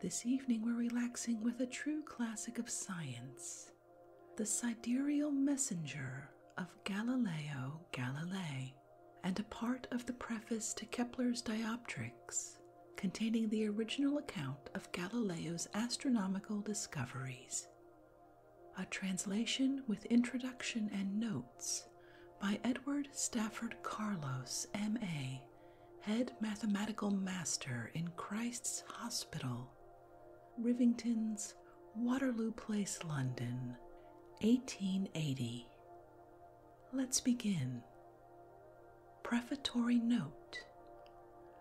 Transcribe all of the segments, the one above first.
This evening, we're relaxing with a true classic of science, The Sidereal Messenger of Galileo Galilei, and a part of the preface to Kepler's Dioptrics, containing the original account of Galileo's astronomical discoveries. A translation with introduction and notes by Edward Stafford Carlos, M.A head mathematical master in Christ's Hospital, Rivington's Waterloo Place, London, 1880. Let's begin. Prefatory Note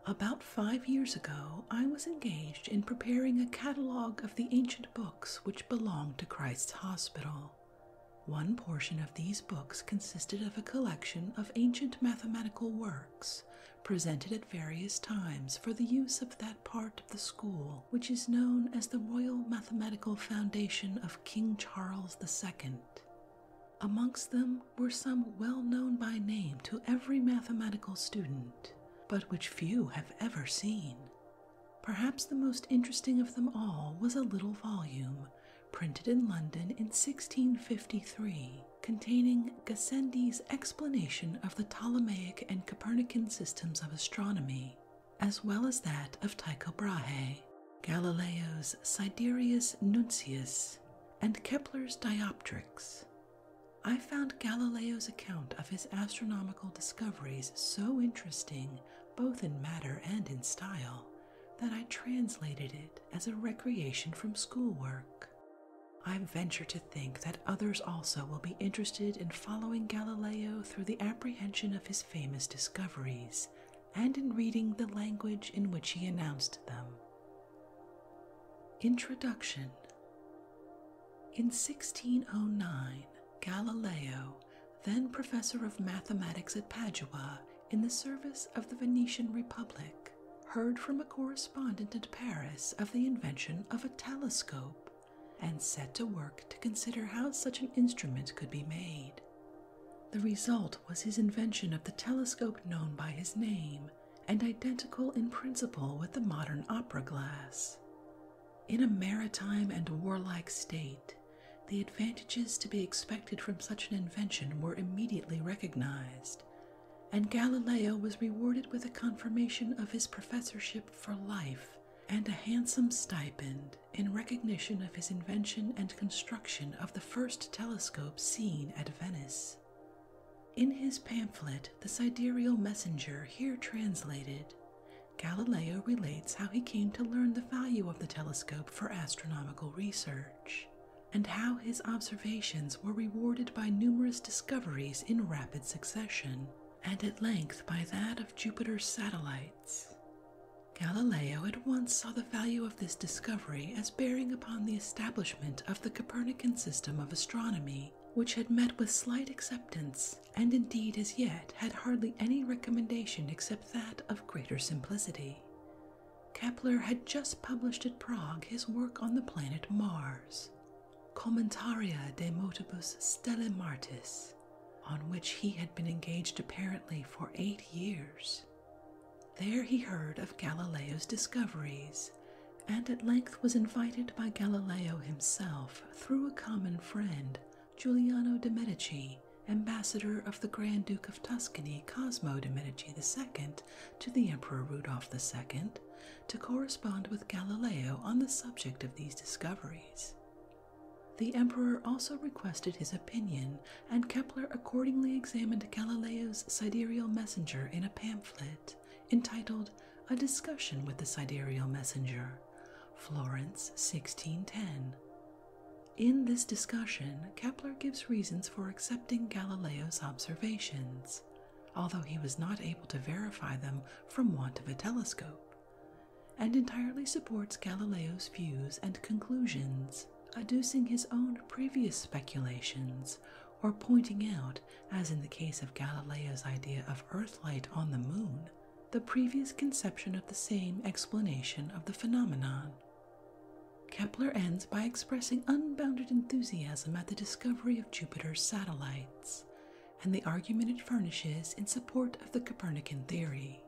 About five years ago, I was engaged in preparing a catalogue of the ancient books which belonged to Christ's Hospital. One portion of these books consisted of a collection of ancient mathematical works presented at various times for the use of that part of the school which is known as the Royal Mathematical Foundation of King Charles II. Amongst them were some well known by name to every mathematical student, but which few have ever seen. Perhaps the most interesting of them all was a little volume printed in London in 1653, containing Gassendi's explanation of the Ptolemaic and Copernican systems of astronomy, as well as that of Tycho Brahe, Galileo's Sidereus Nuncius, and Kepler's Dioptrics. I found Galileo's account of his astronomical discoveries so interesting, both in matter and in style, that I translated it as a recreation from schoolwork. I venture to think that others also will be interested in following Galileo through the apprehension of his famous discoveries and in reading the language in which he announced them. Introduction In 1609, Galileo, then professor of mathematics at Padua, in the service of the Venetian Republic, heard from a correspondent at Paris of the invention of a telescope, and set to work to consider how such an instrument could be made. The result was his invention of the telescope known by his name and identical in principle with the modern opera glass. In a maritime and warlike state, the advantages to be expected from such an invention were immediately recognized, and Galileo was rewarded with a confirmation of his professorship for life and a handsome stipend in recognition of his invention and construction of the first telescope seen at Venice. In his pamphlet, The Sidereal Messenger, here translated, Galileo relates how he came to learn the value of the telescope for astronomical research and how his observations were rewarded by numerous discoveries in rapid succession, and at length by that of Jupiter's satellites. Galileo at once saw the value of this discovery as bearing upon the establishment of the Copernican system of astronomy, which had met with slight acceptance, and indeed as yet had hardly any recommendation except that of greater simplicity. Kepler had just published at Prague his work on the planet Mars, Commentaria de Motibus Stellae Martis, on which he had been engaged apparently for eight years. There he heard of Galileo's discoveries, and at length was invited by Galileo himself through a common friend, Giuliano de' Medici, ambassador of the Grand Duke of Tuscany Cosmo de' Medici II to the Emperor Rudolph II, to correspond with Galileo on the subject of these discoveries. The emperor also requested his opinion, and Kepler accordingly examined Galileo's sidereal messenger in a pamphlet entitled A Discussion with the Sidereal Messenger, Florence, 1610, in this discussion, Kepler gives reasons for accepting Galileo's observations, although he was not able to verify them from want of a telescope, and entirely supports Galileo's views and conclusions, adducing his own previous speculations or pointing out, as in the case of Galileo's idea of Earthlight on the Moon, the previous conception of the same explanation of the phenomenon. Kepler ends by expressing unbounded enthusiasm at the discovery of Jupiter's satellites and the argument it furnishes in support of the Copernican theory.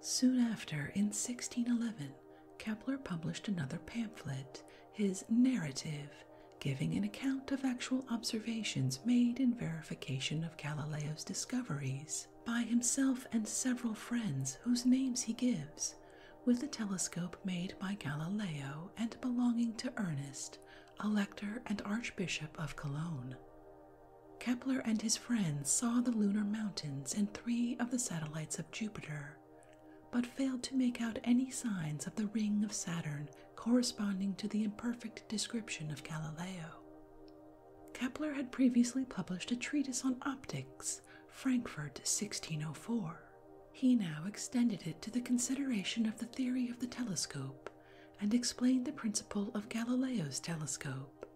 Soon after, in 1611, Kepler published another pamphlet, his Narrative, giving an account of actual observations made in verification of Galileo's discoveries by himself and several friends whose names he gives, with a telescope made by Galileo and belonging to Ernest, elector and archbishop of Cologne. Kepler and his friends saw the lunar mountains and three of the satellites of Jupiter, but failed to make out any signs of the ring of Saturn corresponding to the imperfect description of Galileo. Kepler had previously published a treatise on optics Paris, Frankfurt, 1604. He now extended it to the consideration of the theory of the telescope and explained the principle of Galileo's telescope.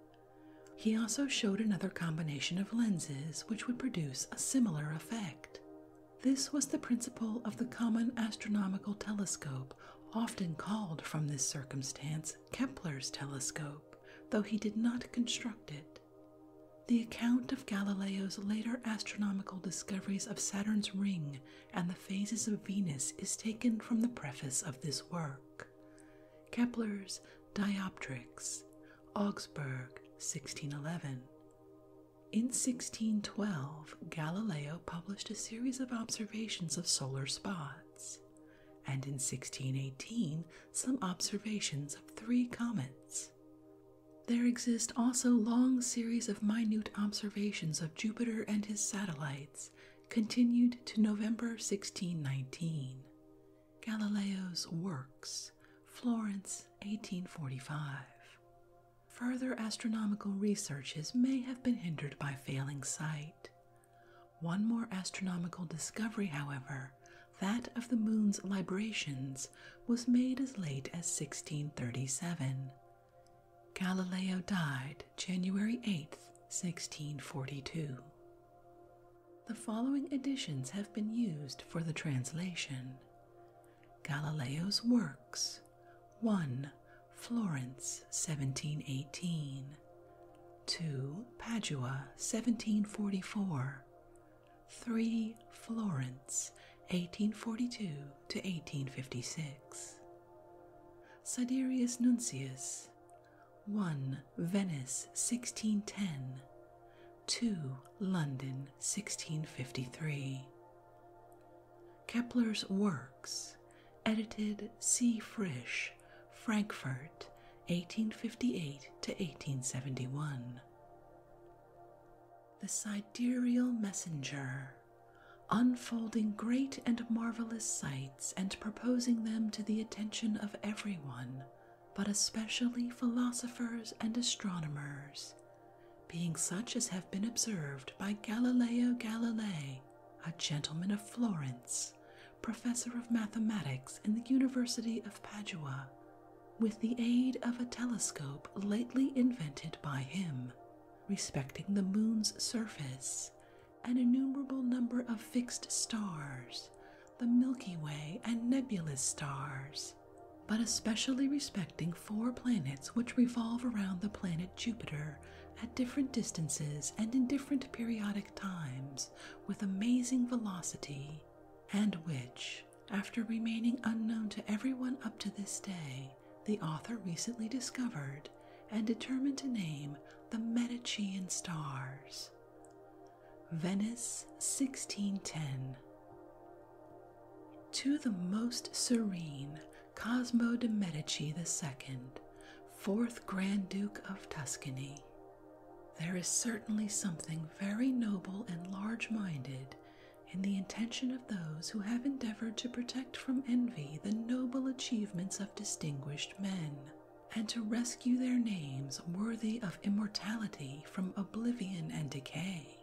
He also showed another combination of lenses which would produce a similar effect. This was the principle of the common astronomical telescope, often called from this circumstance Kepler's telescope, though he did not construct it. The account of Galileo's later astronomical discoveries of Saturn's ring and the phases of Venus is taken from the preface of this work. Kepler's Dioptrics, Augsburg, 1611. In 1612, Galileo published a series of observations of solar spots and in 1618 some observations of three comets. There exist also long series of minute observations of Jupiter and his satellites, continued to November 1619. Galileo's Works, Florence, 1845. Further astronomical researches may have been hindered by failing sight. One more astronomical discovery, however, that of the moon's librations, was made as late as 1637. Galileo died January 8, 1642. The following editions have been used for the translation Galileo's Works 1. Florence 1718 2. Padua 1744 3 Florence, 1842 to 1856. Siderius Nuncius, 1 Venice, 1610, 2 London, 1653. Kepler's works, edited C. Frisch, Frankfurt, 1858 to 1871. The Sidereal Messenger, unfolding great and marvelous sights and proposing them to the attention of every one, but especially philosophers and astronomers, being such as have been observed by Galileo Galilei, a gentleman of Florence, professor of mathematics in the University of Padua, with the aid of a telescope lately invented by him, respecting the moon's surface, an innumerable number of fixed stars, the Milky Way, and nebulous stars, but especially respecting four planets which revolve around the planet Jupiter at different distances and in different periodic times with amazing velocity and which, after remaining unknown to everyone up to this day, the author recently discovered and determined to name the Medicean stars. Venice 1610. To the most serene Cosmo de' Medici II, fourth Grand Duke of Tuscany, there is certainly something very noble and large minded in the intention of those who have endeavored to protect from envy the noble achievements of distinguished men, and to rescue their names worthy of immortality from oblivion and decay.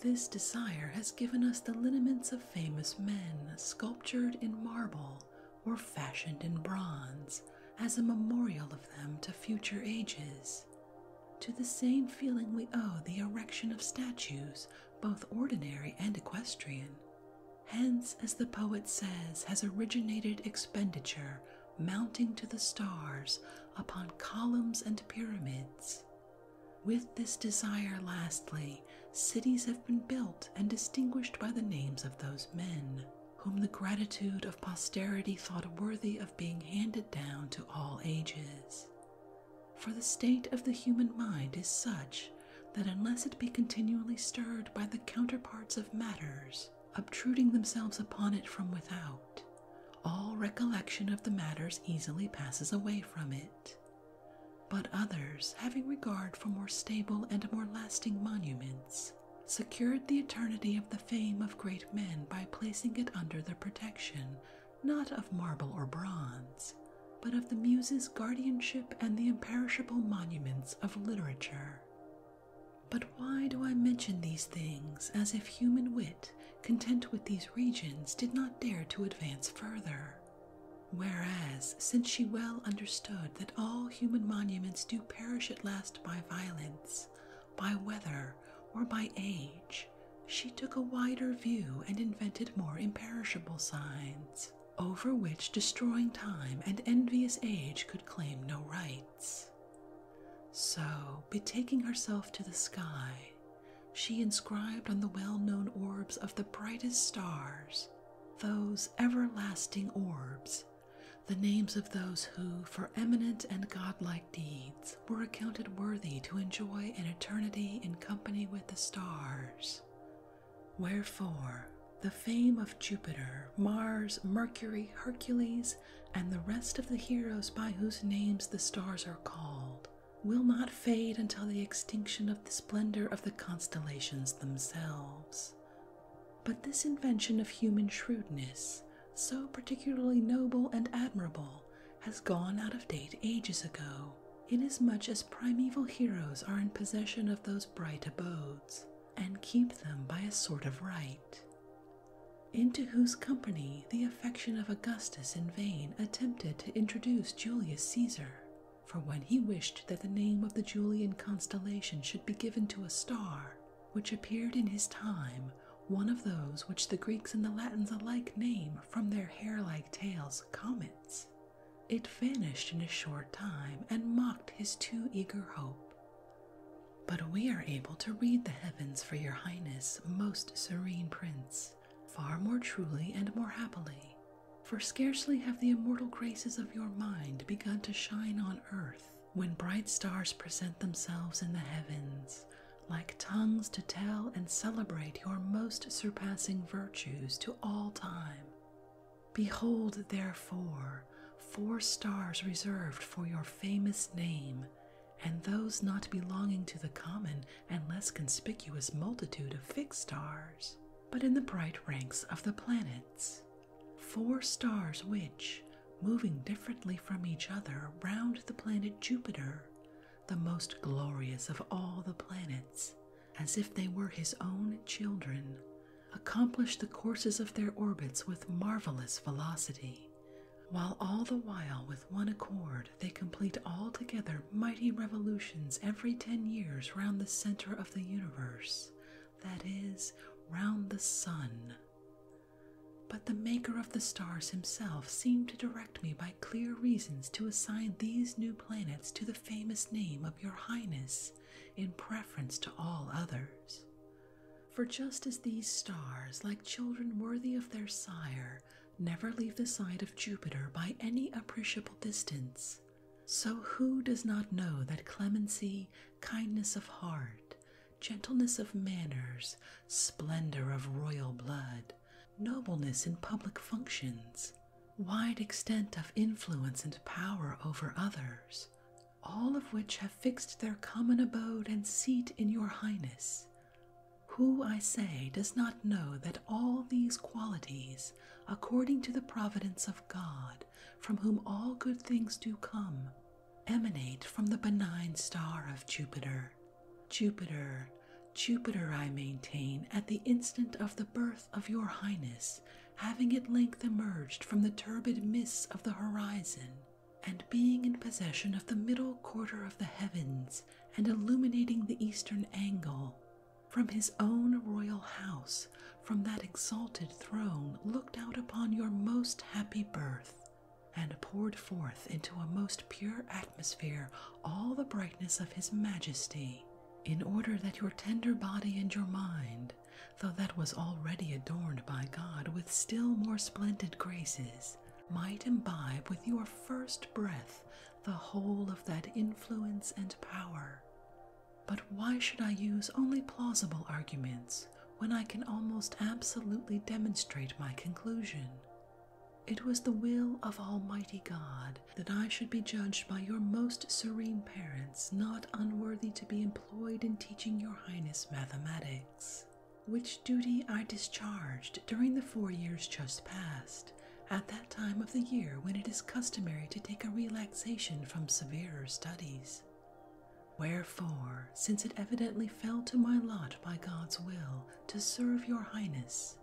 This desire has given us the lineaments of famous men sculptured in marble or fashioned in bronze, as a memorial of them to future ages, to the same feeling we owe the erection of statues, both ordinary and equestrian. Hence, as the poet says, has originated expenditure mounting to the stars upon columns and pyramids. With this desire, lastly, cities have been built and distinguished by the names of those men whom the gratitude of posterity thought worthy of being handed down to all ages. For the state of the human mind is such that unless it be continually stirred by the counterparts of matters, obtruding themselves upon it from without, all recollection of the matters easily passes away from it. But others, having regard for more stable and more lasting monuments, secured the eternity of the fame of great men by placing it under the protection not of marble or bronze, but of the Muses' guardianship and the imperishable monuments of literature. But why do I mention these things as if human wit, content with these regions, did not dare to advance further? Whereas, since she well understood that all human monuments do perish at last by violence, by weather, or by age, she took a wider view and invented more imperishable signs, over which destroying time and envious age could claim no rights. So, betaking herself to the sky, she inscribed on the well known orbs of the brightest stars those everlasting orbs the names of those who, for eminent and godlike deeds, were accounted worthy to enjoy an eternity in company with the stars. Wherefore, the fame of Jupiter, Mars, Mercury, Hercules, and the rest of the heroes by whose names the stars are called, will not fade until the extinction of the splendor of the constellations themselves. But this invention of human shrewdness, so particularly noble and admirable, has gone out of date ages ago, inasmuch as primeval heroes are in possession of those bright abodes, and keep them by a sort of right. Into whose company the affection of Augustus in vain attempted to introduce Julius Caesar, for when he wished that the name of the Julian constellation should be given to a star, which appeared in his time, one of those which the Greeks and the Latins alike name from their hair like tails comets. It vanished in a short time and mocked his too eager hope. But we are able to read the heavens for your highness, most serene prince, far more truly and more happily. For scarcely have the immortal graces of your mind begun to shine on earth when bright stars present themselves in the heavens, like tongues to tell and celebrate your most surpassing virtues to all time. Behold, therefore, four stars reserved for your famous name, and those not belonging to the common and less conspicuous multitude of fixed stars, but in the bright ranks of the planets. Four stars which, moving differently from each other round the planet Jupiter, the most glorious of all the planets, as if they were his own children, accomplished the courses of their orbits with marvelous velocity, while all the while with one accord they complete altogether mighty revolutions every ten years round the center of the universe, that is, round the sun. But the Maker of the stars himself seemed to direct me by clear reasons to assign these new planets to the famous name of your Highness in preference to all others. For just as these stars, like children worthy of their sire, never leave the side of Jupiter by any appreciable distance, so who does not know that clemency, kindness of heart, gentleness of manners, splendor of royal blood, nobleness in public functions, wide extent of influence and power over others, all of which have fixed their common abode and seat in your highness. Who, I say, does not know that all these qualities, according to the providence of God, from whom all good things do come, emanate from the benign star of Jupiter. Jupiter, Jupiter, I maintain, at the instant of the birth of your highness, having at length emerged from the turbid mists of the horizon, and being in possession of the middle quarter of the heavens, and illuminating the eastern angle, from his own royal house, from that exalted throne, looked out upon your most happy birth and poured forth into a most pure atmosphere all the brightness of his majesty, in order that your tender body and your mind, though that was already adorned by God with still more splendid graces, might imbibe with your first breath the whole of that influence and power. But why should I use only plausible arguments when I can almost absolutely demonstrate my conclusion. It was the will of Almighty God that I should be judged by your most serene parents, not unworthy to be employed in teaching your Highness mathematics, which duty I discharged during the four years just past, at that time of the year when it is customary to take a relaxation from severer studies. Wherefore, since it evidently fell to my lot by God's will to serve your highness,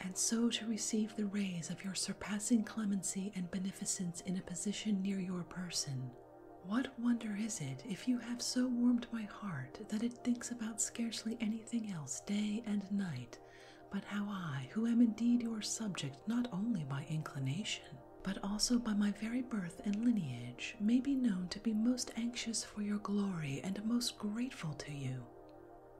and so to receive the rays of your surpassing clemency and beneficence in a position near your person, what wonder is it if you have so warmed my heart that it thinks about scarcely anything else day and night but how I, who am indeed your subject not only by inclination, but also by my very birth and lineage, may be known to be most anxious for your glory and most grateful to you.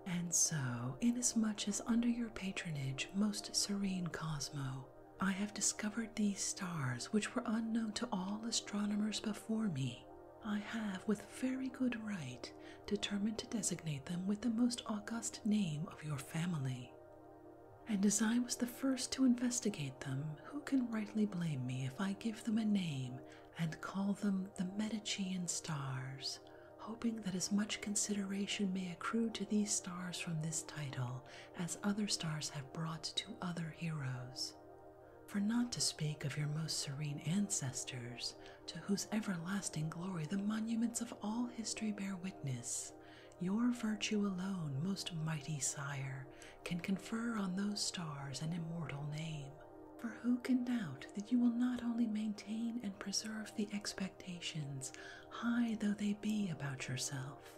And so, inasmuch as under your patronage, most serene Cosmo, I have discovered these stars which were unknown to all astronomers before me, I have, with very good right, determined to designate them with the most august name of your family. And as I was the first to investigate them, who can rightly blame me if I give them a name and call them the Medicean stars, hoping that as much consideration may accrue to these stars from this title as other stars have brought to other heroes? For not to speak of your most serene ancestors, to whose everlasting glory the monuments of all history bear witness, your virtue alone, most mighty sire, can confer on those stars an immortal name. For who can doubt that you will not only maintain and preserve the expectations, high though they be, about yourself,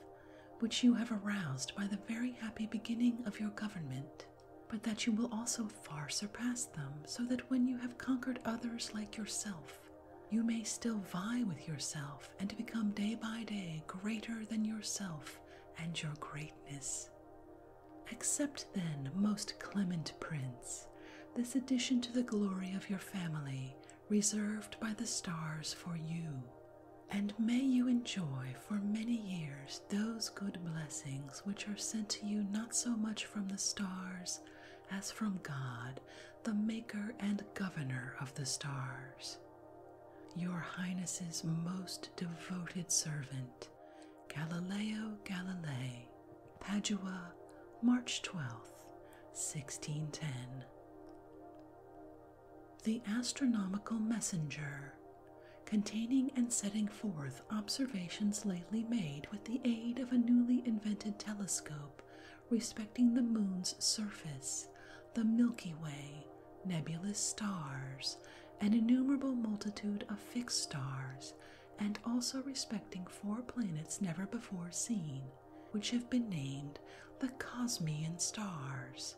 which you have aroused by the very happy beginning of your government, but that you will also far surpass them, so that when you have conquered others like yourself, you may still vie with yourself and become day by day greater than yourself and your greatness. Accept then, most clement prince, this addition to the glory of your family reserved by the stars for you, and may you enjoy for many years those good blessings which are sent to you not so much from the stars as from God, the maker and governor of the stars. Your Highness's most devoted servant, Galileo Galilei, Padua, March 12, 1610. The Astronomical Messenger, containing and setting forth observations lately made with the aid of a newly invented telescope respecting the moon's surface the Milky Way, nebulous stars, an innumerable multitude of fixed stars, and also respecting four planets never before seen, which have been named the Cosmian stars.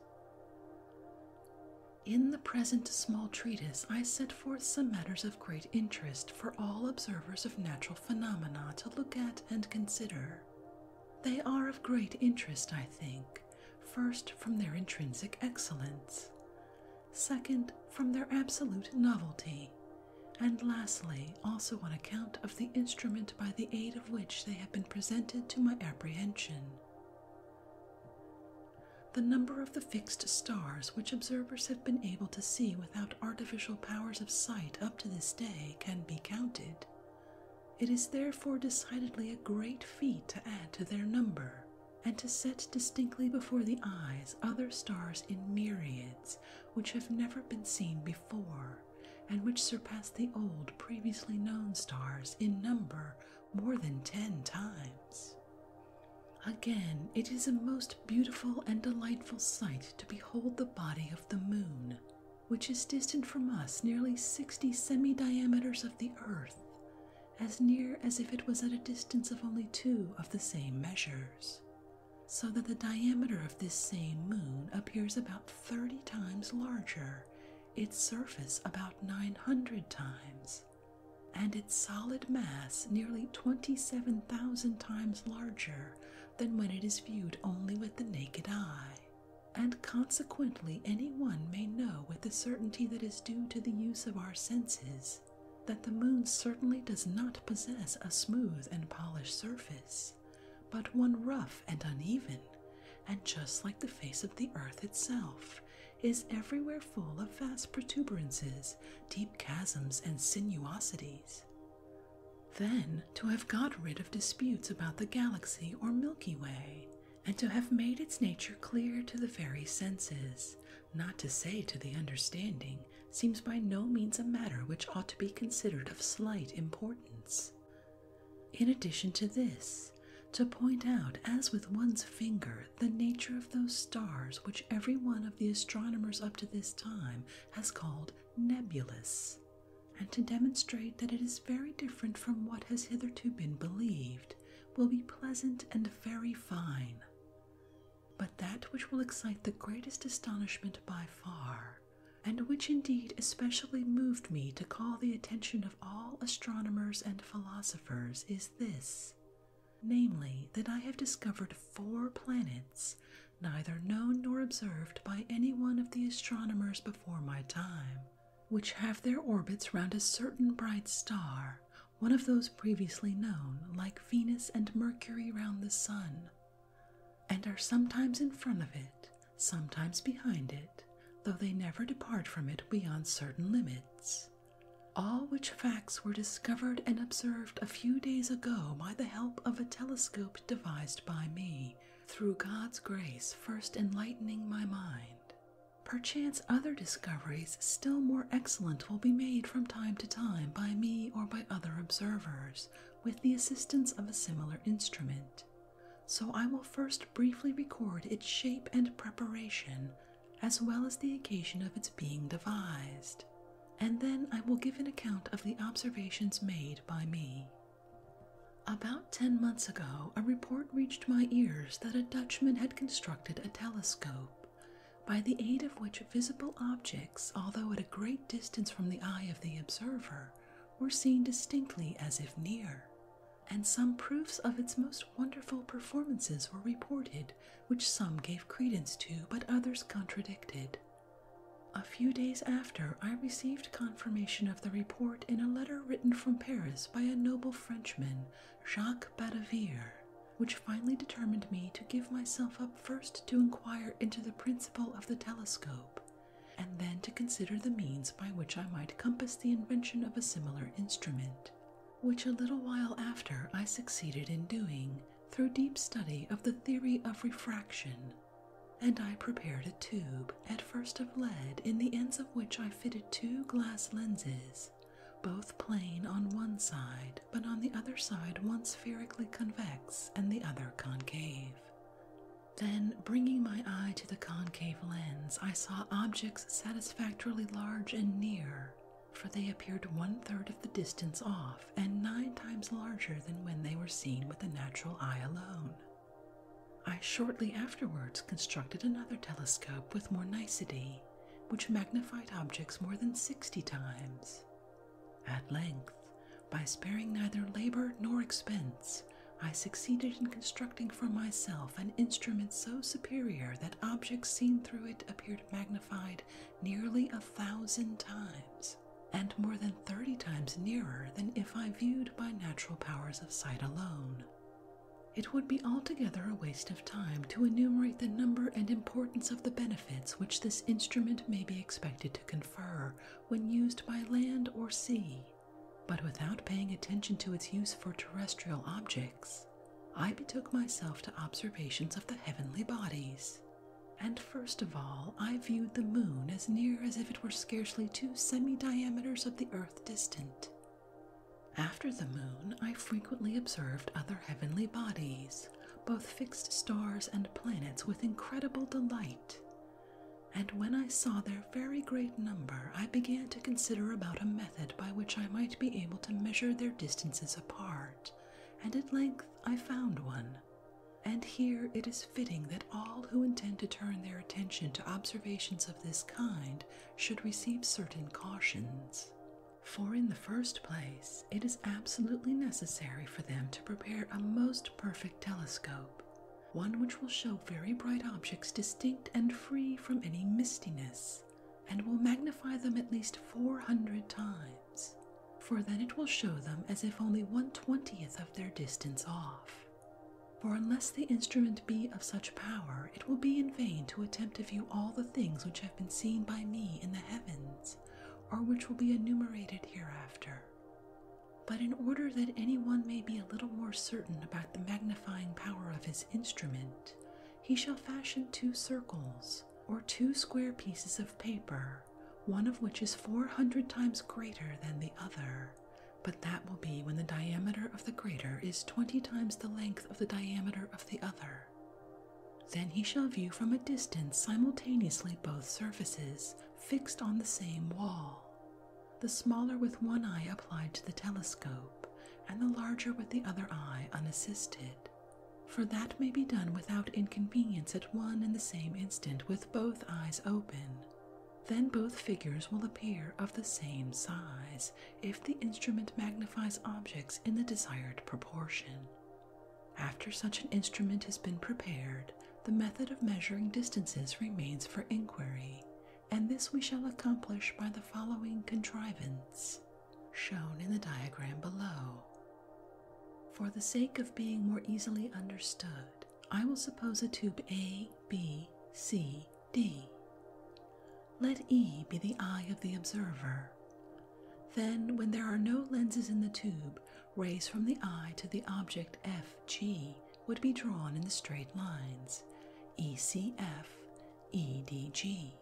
In the present small treatise, I set forth some matters of great interest for all observers of natural phenomena to look at and consider. They are of great interest, I think, first from their intrinsic excellence, second from their absolute novelty, and lastly also on account of the instrument by the aid of which they have been presented to my apprehension. The number of the fixed stars which observers have been able to see without artificial powers of sight up to this day can be counted, it is therefore decidedly a great feat to add to their number, and to set distinctly before the eyes other stars in myriads which have never been seen before, and which surpass the old previously known stars in number more than ten times. Again, it is a most beautiful and delightful sight to behold the body of the moon, which is distant from us nearly 60 semi diameters of the Earth, as near as if it was at a distance of only two of the same measures, so that the diameter of this same moon appears about 30 times larger, its surface about 900 times, and its solid mass nearly 27,000 times larger than when it is viewed only with the naked eye and consequently anyone may know with the certainty that is due to the use of our senses that the moon certainly does not possess a smooth and polished surface, but one rough and uneven, and just like the face of the earth itself, is everywhere full of vast protuberances, deep chasms, and sinuosities. Then, to have got rid of disputes about the galaxy or Milky Way, and to have made its nature clear to the very senses, not to say to the understanding, seems by no means a matter which ought to be considered of slight importance. In addition to this, to point out, as with one's finger, the nature of those stars which every one of the astronomers up to this time has called nebulous, and to demonstrate that it is very different from what has hitherto been believed, will be pleasant and very fine. But that which will excite the greatest astonishment by far, and which indeed especially moved me to call the attention of all astronomers and philosophers, is this namely, that I have discovered four planets, neither known nor observed by any one of the astronomers before my time, which have their orbits round a certain bright star, one of those previously known, like Venus and Mercury round the Sun, and are sometimes in front of it, sometimes behind it, though they never depart from it beyond certain limits. All which facts were discovered and observed a few days ago by the help of a telescope devised by me, through God's grace first enlightening my mind. Perchance other discoveries still more excellent will be made from time to time by me or by other observers with the assistance of a similar instrument. So I will first briefly record its shape and preparation, as well as the occasion of its being devised, and then I will give an account of the observations made by me. About ten months ago, a report reached my ears that a Dutchman had constructed a telescope, by the aid of which visible objects, although at a great distance from the eye of the observer, were seen distinctly as if near, and some proofs of its most wonderful performances were reported, which some gave credence to but others contradicted. A few days after, I received confirmation of the report in a letter written from Paris by a noble Frenchman, Jacques Badavere, which finally determined me to give myself up first to inquire into the principle of the telescope, and then to consider the means by which I might compass the invention of a similar instrument, which a little while after I succeeded in doing through deep study of the theory of refraction. And I prepared a tube, at first of lead, in the ends of which I fitted two glass lenses, both plain on one side, but on the other side one spherically convex and the other concave. Then, bringing my eye to the concave lens, I saw objects satisfactorily large and near, for they appeared one third of the distance off and nine times larger than when they were seen with the natural eye alone. I shortly afterwards constructed another telescope with more nicety, which magnified objects more than sixty times. At length, by sparing neither labor nor expense, I succeeded in constructing for myself an instrument so superior that objects seen through it appeared magnified nearly a thousand times, and more than thirty times nearer than if I viewed by natural powers of sight alone. It would be altogether a waste of time to enumerate the number and importance of the benefits which this instrument may be expected to confer when used by land or sea, but without paying attention to its use for terrestrial objects, I betook myself to observations of the heavenly bodies. And first of all, I viewed the moon as near as if it were scarcely two semi diameters of the earth distant, after the moon, I frequently observed other heavenly bodies, both fixed stars and planets, with incredible delight. And when I saw their very great number, I began to consider about a method by which I might be able to measure their distances apart, and at length I found one. And here it is fitting that all who intend to turn their attention to observations of this kind should receive certain cautions. For, in the first place, it is absolutely necessary for them to prepare a most perfect telescope, one which will show very bright objects distinct and free from any mistiness, and will magnify them at least 400 times, for then it will show them as if only one twentieth of their distance off. For unless the instrument be of such power, it will be in vain to attempt to view all the things which have been seen by me in the heavens, or which will be enumerated hereafter. But in order that any one may be a little more certain about the magnifying power of his instrument, he shall fashion two circles, or two square pieces of paper, one of which is four hundred times greater than the other, but that will be when the diameter of the greater is twenty times the length of the diameter of the other. Then he shall view from a distance simultaneously both surfaces fixed on the same wall, the smaller with one eye applied to the telescope, and the larger with the other eye unassisted. For that may be done without inconvenience at one and the same instant with both eyes open, then both figures will appear of the same size if the instrument magnifies objects in the desired proportion. After such an instrument has been prepared, the method of measuring distances remains for inquiry, and this we shall accomplish by the following contrivance, shown in the diagram below. For the sake of being more easily understood, I will suppose a tube A, B, C, D. Let E be the eye of the observer. Then, when there are no lenses in the tube, rays from the eye to the object FG would be drawn in the straight lines E C F, E D G.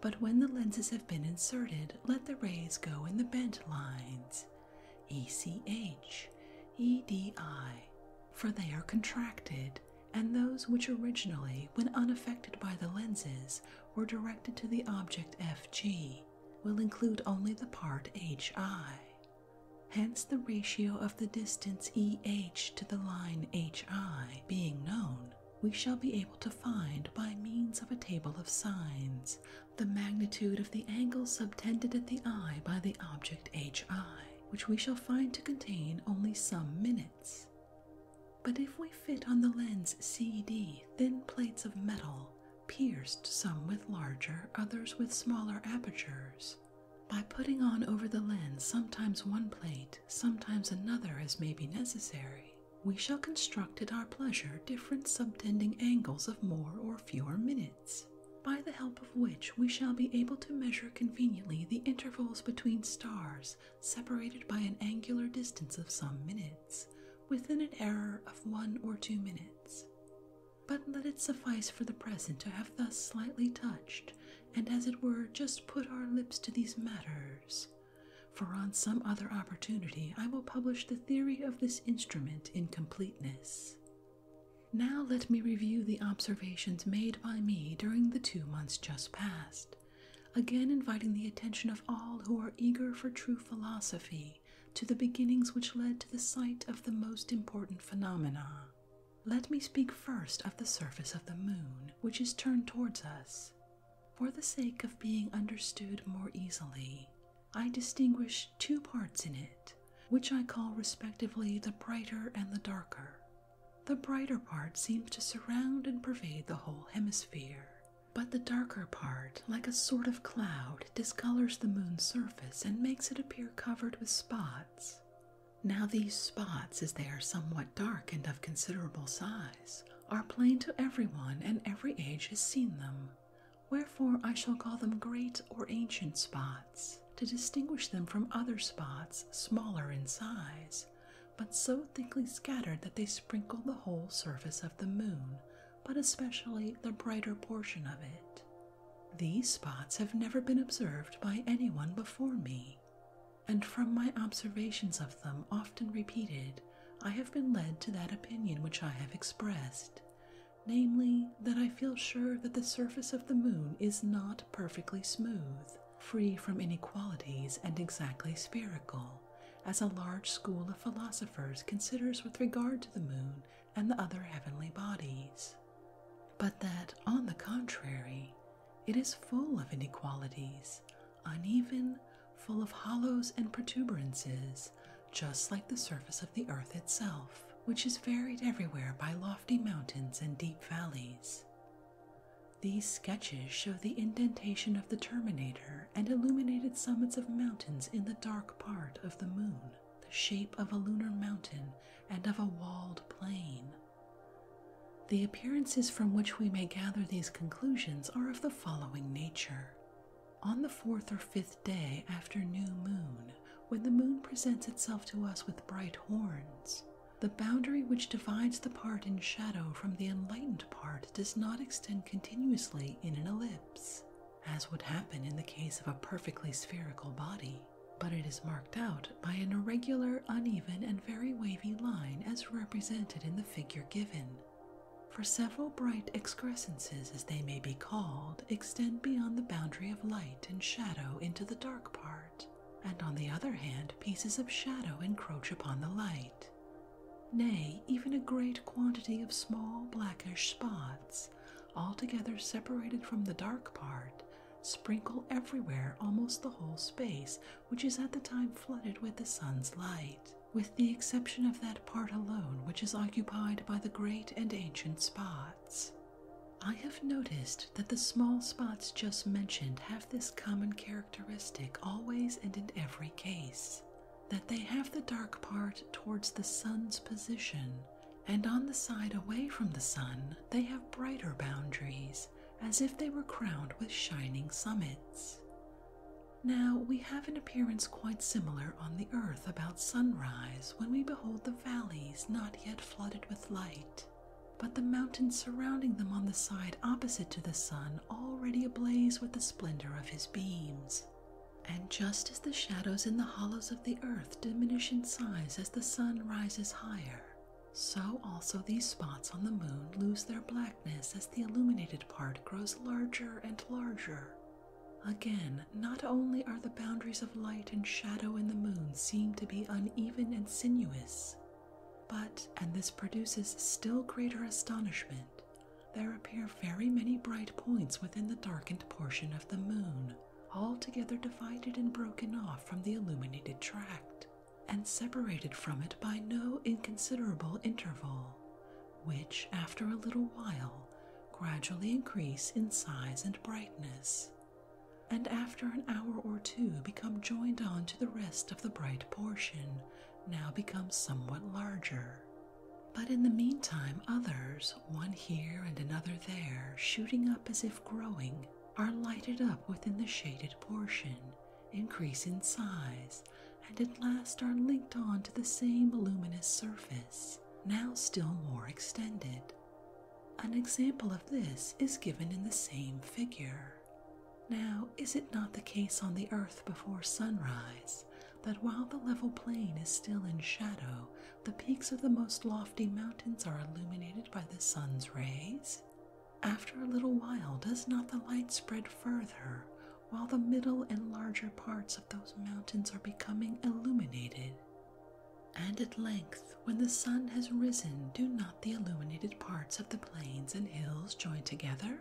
But when the lenses have been inserted, let the rays go in the bent lines E C H, E D I, for they are contracted and those which originally, when unaffected by the lenses, were directed to the object FG will include only the part HI. Hence, the ratio of the distance EH to the line HI being known, we shall be able to find by means of a table of sines the magnitude of the angle subtended at the eye by the object HI which we shall find to contain only some minutes. But if we fit on the lens CD thin plates of metal, pierced some with larger, others with smaller apertures, by putting on over the lens sometimes one plate, sometimes another as may be necessary, we shall construct at our pleasure different subtending angles of more or fewer minutes by the help of which we shall be able to measure conveniently the intervals between stars separated by an angular distance of some minutes, within an error of one or two minutes. But let it suffice for the present to have thus slightly touched, and as it were, just put our lips to these matters. For on some other opportunity I will publish the theory of this instrument in completeness. Now let me review the observations made by me during the two months just past, again inviting the attention of all who are eager for true philosophy to the beginnings which led to the sight of the most important phenomena. Let me speak first of the surface of the moon, which is turned towards us. For the sake of being understood more easily, I distinguish two parts in it, which I call respectively the brighter and the darker. The brighter part seems to surround and pervade the whole hemisphere, but the darker part, like a sort of cloud, discolors the moon's surface and makes it appear covered with spots. Now, these spots, as they are somewhat dark and of considerable size, are plain to every one, and every age has seen them. Wherefore I shall call them great or ancient spots to distinguish them from other spots smaller in size, but so thickly scattered that they sprinkle the whole surface of the moon, but especially the brighter portion of it. These spots have never been observed by anyone before me, and from my observations of them often repeated, I have been led to that opinion which I have expressed, namely, that I feel sure that the surface of the moon is not perfectly smooth, free from inequalities, and exactly spherical, as a large school of philosophers considers with regard to the moon and the other heavenly bodies. But that, on the contrary, it is full of inequalities, uneven, full of hollows and protuberances, just like the surface of the earth itself, which is varied everywhere by lofty mountains and deep valleys. These sketches show the indentation of the terminator and illuminated summits of mountains in the dark part of the moon, the shape of a lunar mountain and of a walled plain. The appearances from which we may gather these conclusions are of the following nature. On the fourth or fifth day after new moon, when the moon presents itself to us with bright horns, the boundary which divides the part in shadow from the enlightened part does not extend continuously in an ellipse, as would happen in the case of a perfectly spherical body, but it is marked out by an irregular, uneven, and very wavy line as represented in the figure given. For several bright excrescences, as they may be called, extend beyond the boundary of light and shadow into the dark part and on the other hand, pieces of shadow encroach upon the light. Nay, even a great quantity of small blackish spots, altogether separated from the dark part, sprinkle everywhere almost the whole space, which is at the time flooded with the sun's light, with the exception of that part alone which is occupied by the great and ancient spots. I have noticed that the small spots just mentioned have this common characteristic always and in every case that they have the dark part towards the sun's position, and on the side away from the sun, they have brighter boundaries as if they were crowned with shining summits. Now, we have an appearance quite similar on the earth about sunrise when we behold the valleys not yet flooded with light, but the mountains surrounding them on the side opposite to the sun already ablaze with the splendor of his beams. And just as the shadows in the hollows of the earth diminish in size as the sun rises higher, so also these spots on the moon lose their blackness as the illuminated part grows larger and larger. Again, not only are the boundaries of light and shadow in the moon seem to be uneven and sinuous, but, and this produces still greater astonishment, there appear very many bright points within the darkened portion of the moon, altogether divided and broken off from the illuminated tract, and separated from it by no inconsiderable interval, which, after a little while, gradually increase in size and brightness, and after an hour or two become joined on to the rest of the bright portion, now become somewhat larger. But in the meantime, others, one here and another there, shooting up as if growing, are lighted up within the shaded portion, increase in size, and at last are linked on to the same luminous surface, now still more extended. An example of this is given in the same figure. Now, is it not the case on the earth before sunrise that while the level plain is still in shadow, the peaks of the most lofty mountains are illuminated by the sun's rays? After a little while, does not the light spread further, while the middle and larger parts of those mountains are becoming illuminated? And at length, when the sun has risen, do not the illuminated parts of the plains and hills join together?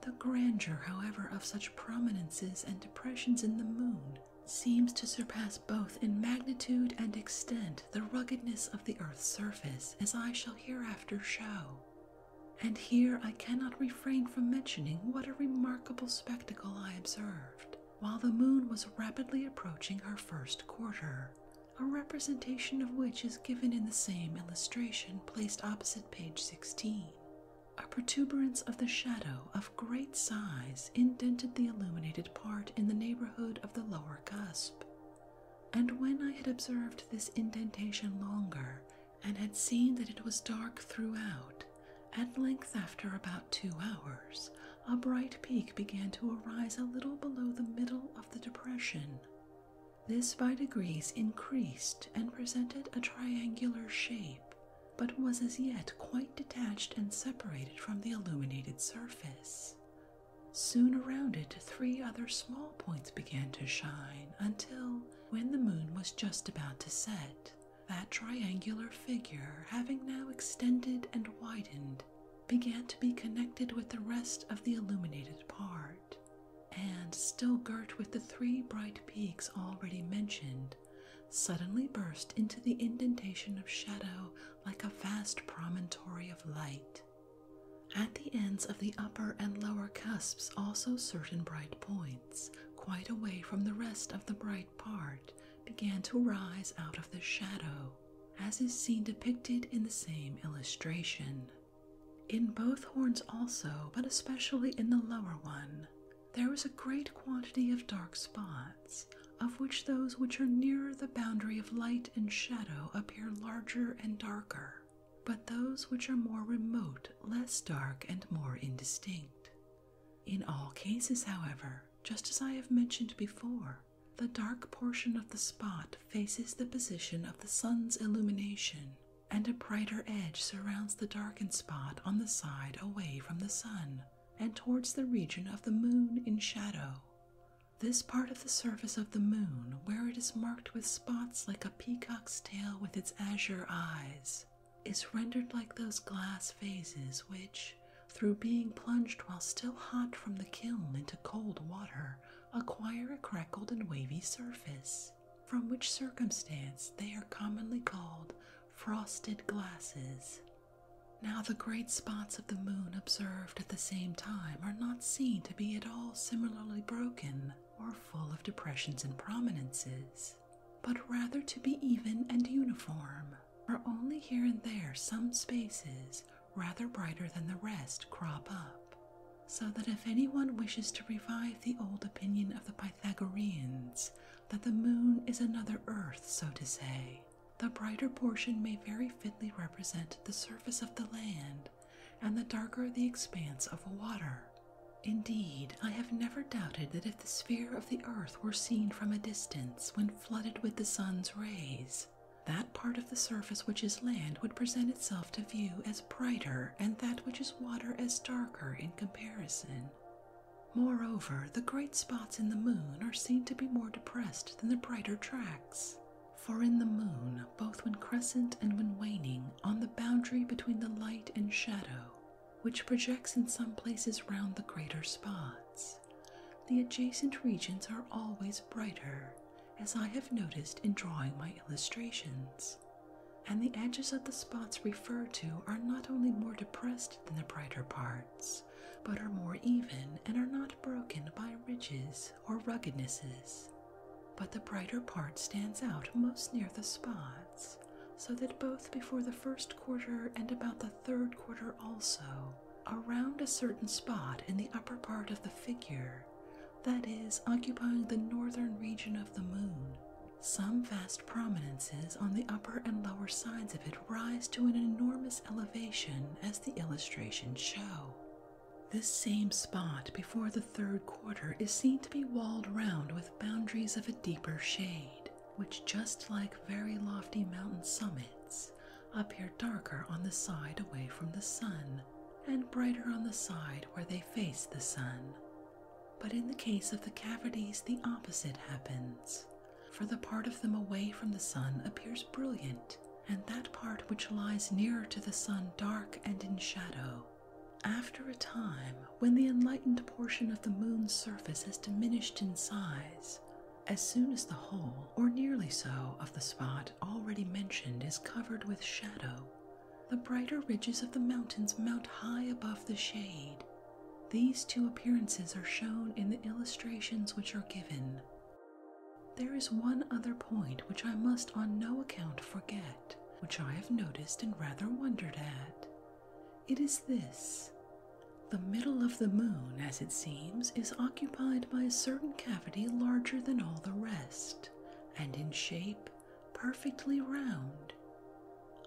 The grandeur, however, of such prominences and depressions in the moon seems to surpass both in magnitude and extent the ruggedness of the earth's surface, as I shall hereafter show. And here I cannot refrain from mentioning what a remarkable spectacle I observed while the moon was rapidly approaching her first quarter, a representation of which is given in the same illustration placed opposite page 16. A protuberance of the shadow of great size indented the illuminated part in the neighborhood of the lower cusp. And when I had observed this indentation longer, and had seen that it was dark throughout, at length after about two hours, a bright peak began to arise a little below the middle of the depression. This by degrees increased and presented a triangular shape, but was as yet quite detached and separated from the illuminated surface. Soon around it, three other small points began to shine until, when the moon was just about to set, that triangular figure, having now extended and widened, began to be connected with the rest of the illuminated part, and still girt with the three bright peaks already mentioned, suddenly burst into the indentation of shadow like a vast promontory of light. At the ends of the upper and lower cusps, also certain bright points, quite away from the rest of the bright part, began to rise out of the shadow, as is seen depicted in the same illustration. In both horns, also, but especially in the lower one, there is a great quantity of dark spots, of which those which are nearer the boundary of light and shadow appear larger and darker, but those which are more remote less dark and more indistinct. In all cases, however, just as I have mentioned before, the dark portion of the spot faces the position of the sun's illumination, and a brighter edge surrounds the darkened spot on the side away from the sun and towards the region of the moon in shadow. This part of the surface of the moon, where it is marked with spots like a peacock's tail with its azure eyes, is rendered like those glass vases which, through being plunged while still hot from the kiln into cold water, acquire a crackled and wavy surface, from which circumstance they are commonly called frosted glasses. Now, the great spots of the moon observed at the same time are not seen to be at all similarly broken or full of depressions and prominences, but rather to be even and uniform for only here and there some spaces, rather brighter than the rest, crop up, so that if anyone wishes to revive the old opinion of the Pythagoreans that the moon is another earth, so to say, the brighter portion may very fitly represent the surface of the land, and the darker the expanse of water. Indeed, I have never doubted that if the sphere of the earth were seen from a distance when flooded with the sun's rays, that part of the surface which is land would present itself to view as brighter, and that which is water as darker in comparison. Moreover, the great spots in the moon are seen to be more depressed than the brighter tracts. For in the moon, both when crescent and when waning, on the boundary between the light and shadow, which projects in some places round the greater spots, the adjacent regions are always brighter, as I have noticed in drawing my illustrations, and the edges of the spots referred to are not only more depressed than the brighter parts, but are more even and are not broken by ridges or ruggednesses. But the brighter part stands out most near the spots, so that both before the first quarter and about the third quarter also, around a certain spot in the upper part of the figure, that is, occupying the northern region of the moon. Some vast prominences on the upper and lower sides of it rise to an enormous elevation, as the illustrations show. This same spot before the third quarter is seen to be walled round with boundaries of a deeper shade, which, just like very lofty mountain summits, appear darker on the side away from the sun and brighter on the side where they face the sun. But in the case of the cavities, the opposite happens, for the part of them away from the sun appears brilliant, and that part which lies nearer to the sun dark and in shadow. After a time, when the enlightened portion of the moon's surface has diminished in size, as soon as the whole, or nearly so, of the spot already mentioned is covered with shadow. The brighter ridges of the mountains mount high above the shade. These two appearances are shown in the illustrations which are given. There is one other point which I must on no account forget, which I have noticed and rather wondered at. It is this. The middle of the moon, as it seems, is occupied by a certain cavity larger than all the rest, and in shape perfectly round.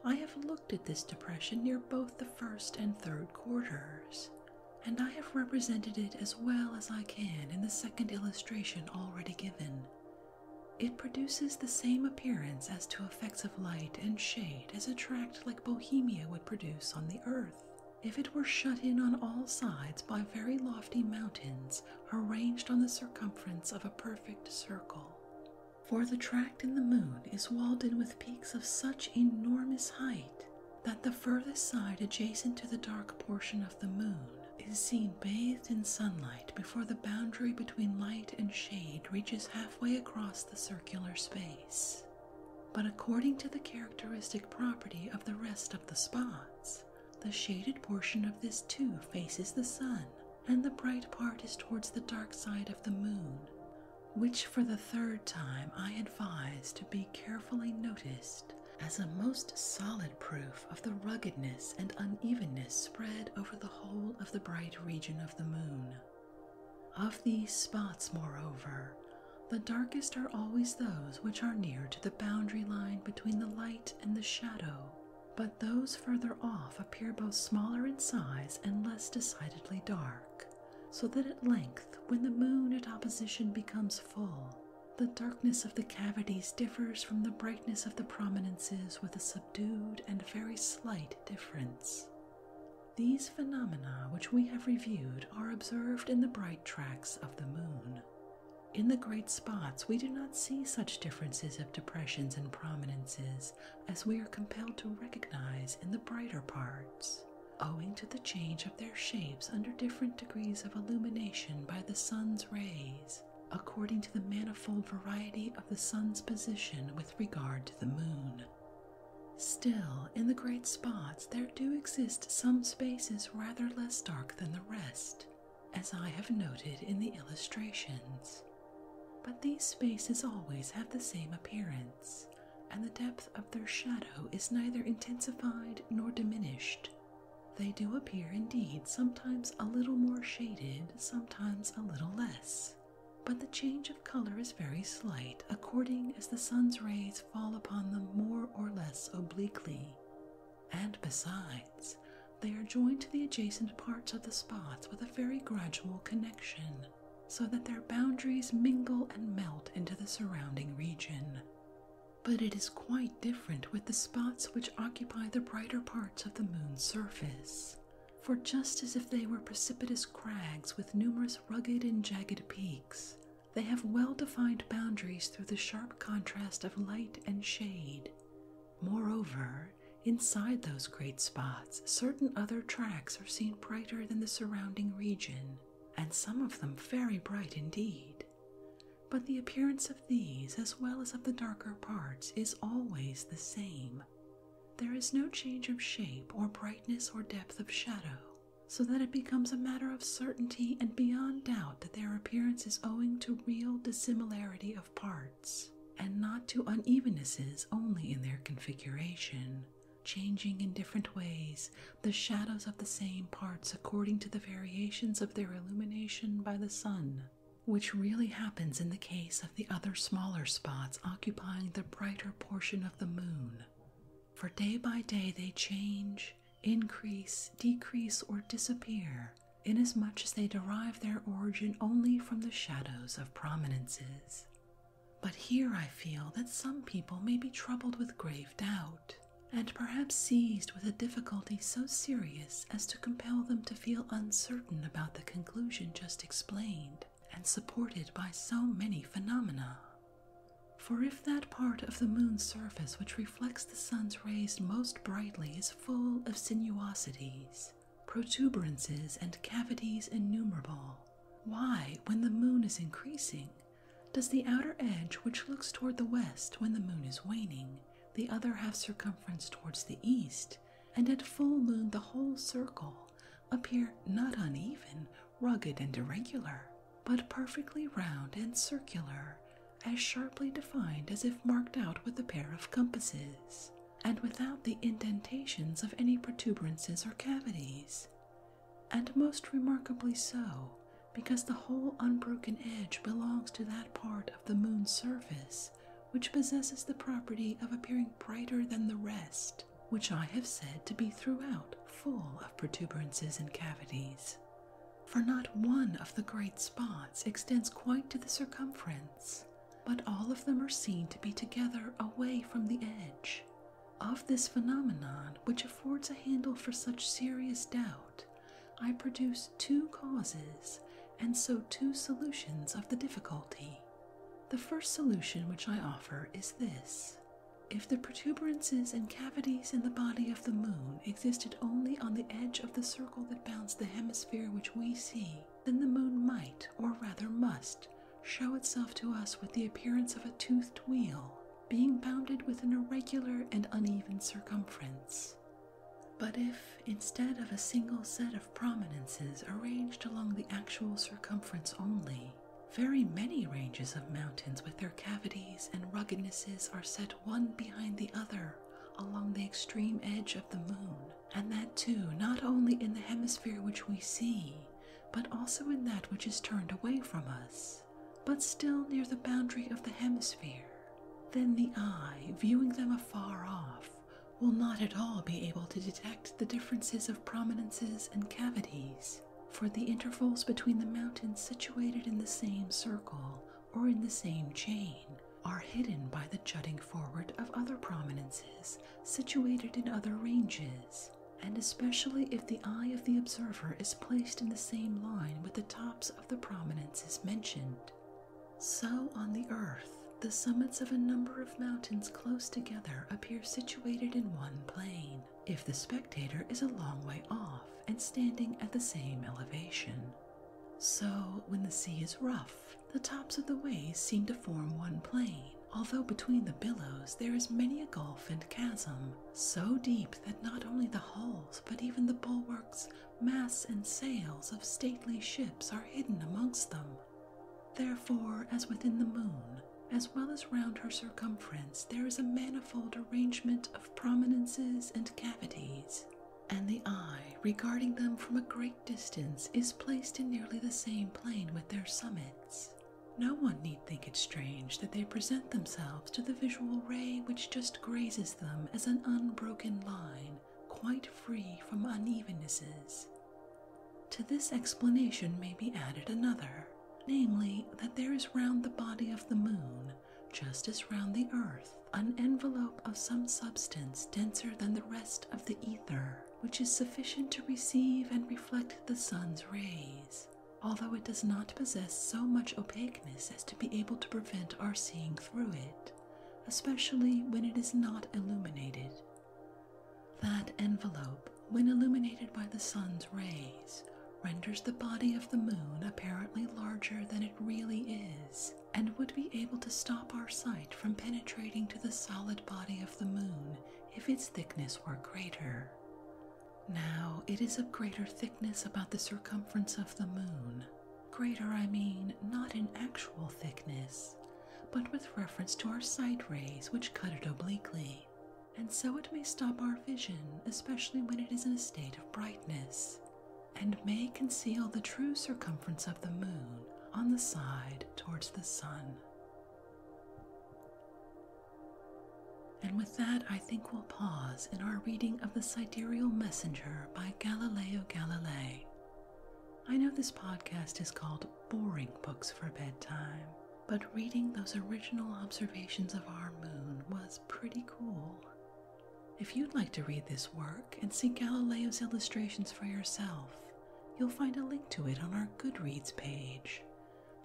I have looked at this depression near both the first and third quarters, and I have represented it as well as I can in the second illustration already given. It produces the same appearance as to effects of light and shade as a tract like Bohemia would produce on the earth if it were shut in on all sides by very lofty mountains arranged on the circumference of a perfect circle. For the tract in the moon is walled in with peaks of such enormous height that the furthest side adjacent to the dark portion of the moon is seen bathed in sunlight before the boundary between light and shade reaches halfway across the circular space but according to the characteristic property of the rest of the spots, the shaded portion of this too faces the sun, and the bright part is towards the dark side of the moon, which for the third time I advise to be carefully noticed as a most solid proof of the ruggedness and unevenness spread over the whole of the bright region of the moon. Of these spots, moreover, the darkest are always those which are near to the boundary line between the light and the shadow, but those further off appear both smaller in size and less decidedly dark, so that at length, when the moon at opposition becomes full, the darkness of the cavities differs from the brightness of the prominences with a subdued and very slight difference. These phenomena, which we have reviewed, are observed in the bright tracks the moon. In the great spots, we do not see such differences of depressions and prominences as we are compelled to recognize in the brighter parts, owing to the change of their shapes under different degrees of illumination by the sun's rays, according to the manifold variety of the sun's position with regard to the moon. Still, in the great spots, there do exist some spaces rather less dark than the rest, as I have noted in the illustrations. But these spaces always have the same appearance, and the depth of their shadow is neither intensified nor diminished. They do appear indeed sometimes a little more shaded, sometimes a little less, but the change of color is very slight according as the sun's rays fall upon them more or less obliquely, and besides, they are joined to the adjacent parts of the spots with a very gradual connection, so that their boundaries mingle and melt into the surrounding region. But it is quite different with the spots which occupy the brighter parts of the moon's surface. For just as if they were precipitous crags with numerous rugged and jagged peaks, they have well defined boundaries through the sharp contrast of light and shade. Moreover, inside those great spots, certain other tracks are seen brighter than the surrounding region, and some of them very bright indeed. But the appearance of these, as well as of the darker parts, is always the same. There is no change of shape or brightness or depth of shadow, so that it becomes a matter of certainty and beyond doubt that their appearance is owing to real dissimilarity of parts, and not to unevennesses only in their configuration, changing in different ways the shadows of the same parts according to the variations of their illumination by the sun. Which really happens in the case of the other smaller spots occupying the brighter portion of the moon, for day by day they change, increase, decrease, or disappear, inasmuch as they derive their origin only from the shadows of prominences. But here I feel that some people may be troubled with grave doubt, and perhaps seized with a difficulty so serious as to compel them to feel uncertain about the conclusion just explained and supported by so many phenomena. For if that part of the moon's surface which reflects the sun's rays most brightly is full of sinuosities, protuberances, and cavities innumerable, why, when the moon is increasing, does the outer edge which looks toward the west when the moon is waning, the other half circumference towards the east, and at full moon the whole circle appear not uneven, rugged and irregular, but perfectly round and circular, as sharply defined as if marked out with a pair of compasses, and without the indentations of any protuberances or cavities. And most remarkably so, because the whole unbroken edge belongs to that part of the moon's surface which possesses the property of appearing brighter than the rest, which I have said to be throughout full of protuberances and cavities for not one of the great spots extends quite to the circumference, but all of them are seen to be together away from the edge. Of this phenomenon, which affords a handle for such serious doubt, I produce two causes and so two solutions of the difficulty. The first solution which I offer is this if the protuberances and cavities in the body of the moon existed only on the edge of the circle that bounds the hemisphere which we see, then the moon might, or rather must, show itself to us with the appearance of a toothed wheel, being bounded with an irregular and uneven circumference. But if, instead of a single set of prominences arranged along the actual circumference only, very many ranges of mountains with their cavities and ruggednesses are set one behind the other along the extreme edge of the moon, and that too not only in the hemisphere which we see, but also in that which is turned away from us, but still near the boundary of the hemisphere. Then the eye, viewing them afar off, will not at all be able to detect the differences of prominences and cavities for the intervals between the mountains situated in the same circle or in the same chain are hidden by the jutting forward of other prominences situated in other ranges, and especially if the eye of the observer is placed in the same line with the tops of the prominences mentioned. So on the earth, the summits of a number of mountains close together appear situated in one plane, if the spectator is a long way off and standing at the same elevation. So, when the sea is rough, the tops of the waves seem to form one plane, although between the billows there is many a gulf and chasm, so deep that not only the hulls but even the bulwarks, masts, and sails of stately ships are hidden amongst them. Therefore, as within the moon, as well as round her circumference, there is a manifold arrangement of prominences and cavities, and the eye, regarding them from a great distance, is placed in nearly the same plane with their summits. No one need think it strange that they present themselves to the visual ray which just grazes them as an unbroken line, quite free from unevennesses. To this explanation may be added another, namely, that there is round the body of the moon just as round the earth, an envelope of some substance denser than the rest of the ether, which is sufficient to receive and reflect the sun's rays, although it does not possess so much opaqueness as to be able to prevent our seeing through it, especially when it is not illuminated. That envelope, when illuminated by the sun's rays, renders the body of the moon apparently larger than it really is and would be able to stop our sight from penetrating to the solid body of the moon if its thickness were greater. Now, it is of greater thickness about the circumference of the moon. Greater, I mean, not in actual thickness, but with reference to our sight rays which cut it obliquely and so it may stop our vision, especially when it is in a state of brightness, and may conceal the true circumference of the moon on the side towards the sun. And with that, I think we'll pause in our reading of The Sidereal Messenger by Galileo Galilei. I know this podcast is called Boring Books for Bedtime, but reading those original observations of our moon was pretty cool. If you'd like to read this work and see Galileo's illustrations for yourself, you'll find a link to it on our Goodreads page.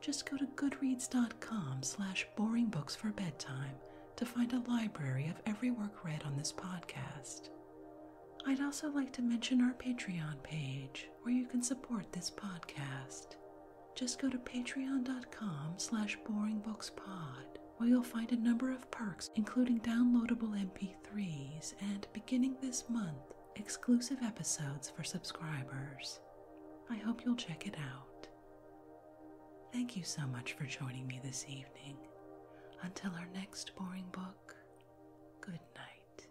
Just go to goodreads.com slash boringbooksforbedtime to find a library of every work read on this podcast. I'd also like to mention our Patreon page, where you can support this podcast. Just go to patreon.com slash boringbookspod where you'll find a number of perks including downloadable MP3s and, beginning this month, exclusive episodes for subscribers. I hope you'll check it out. Thank you so much for joining me this evening. Until our next boring book, good night.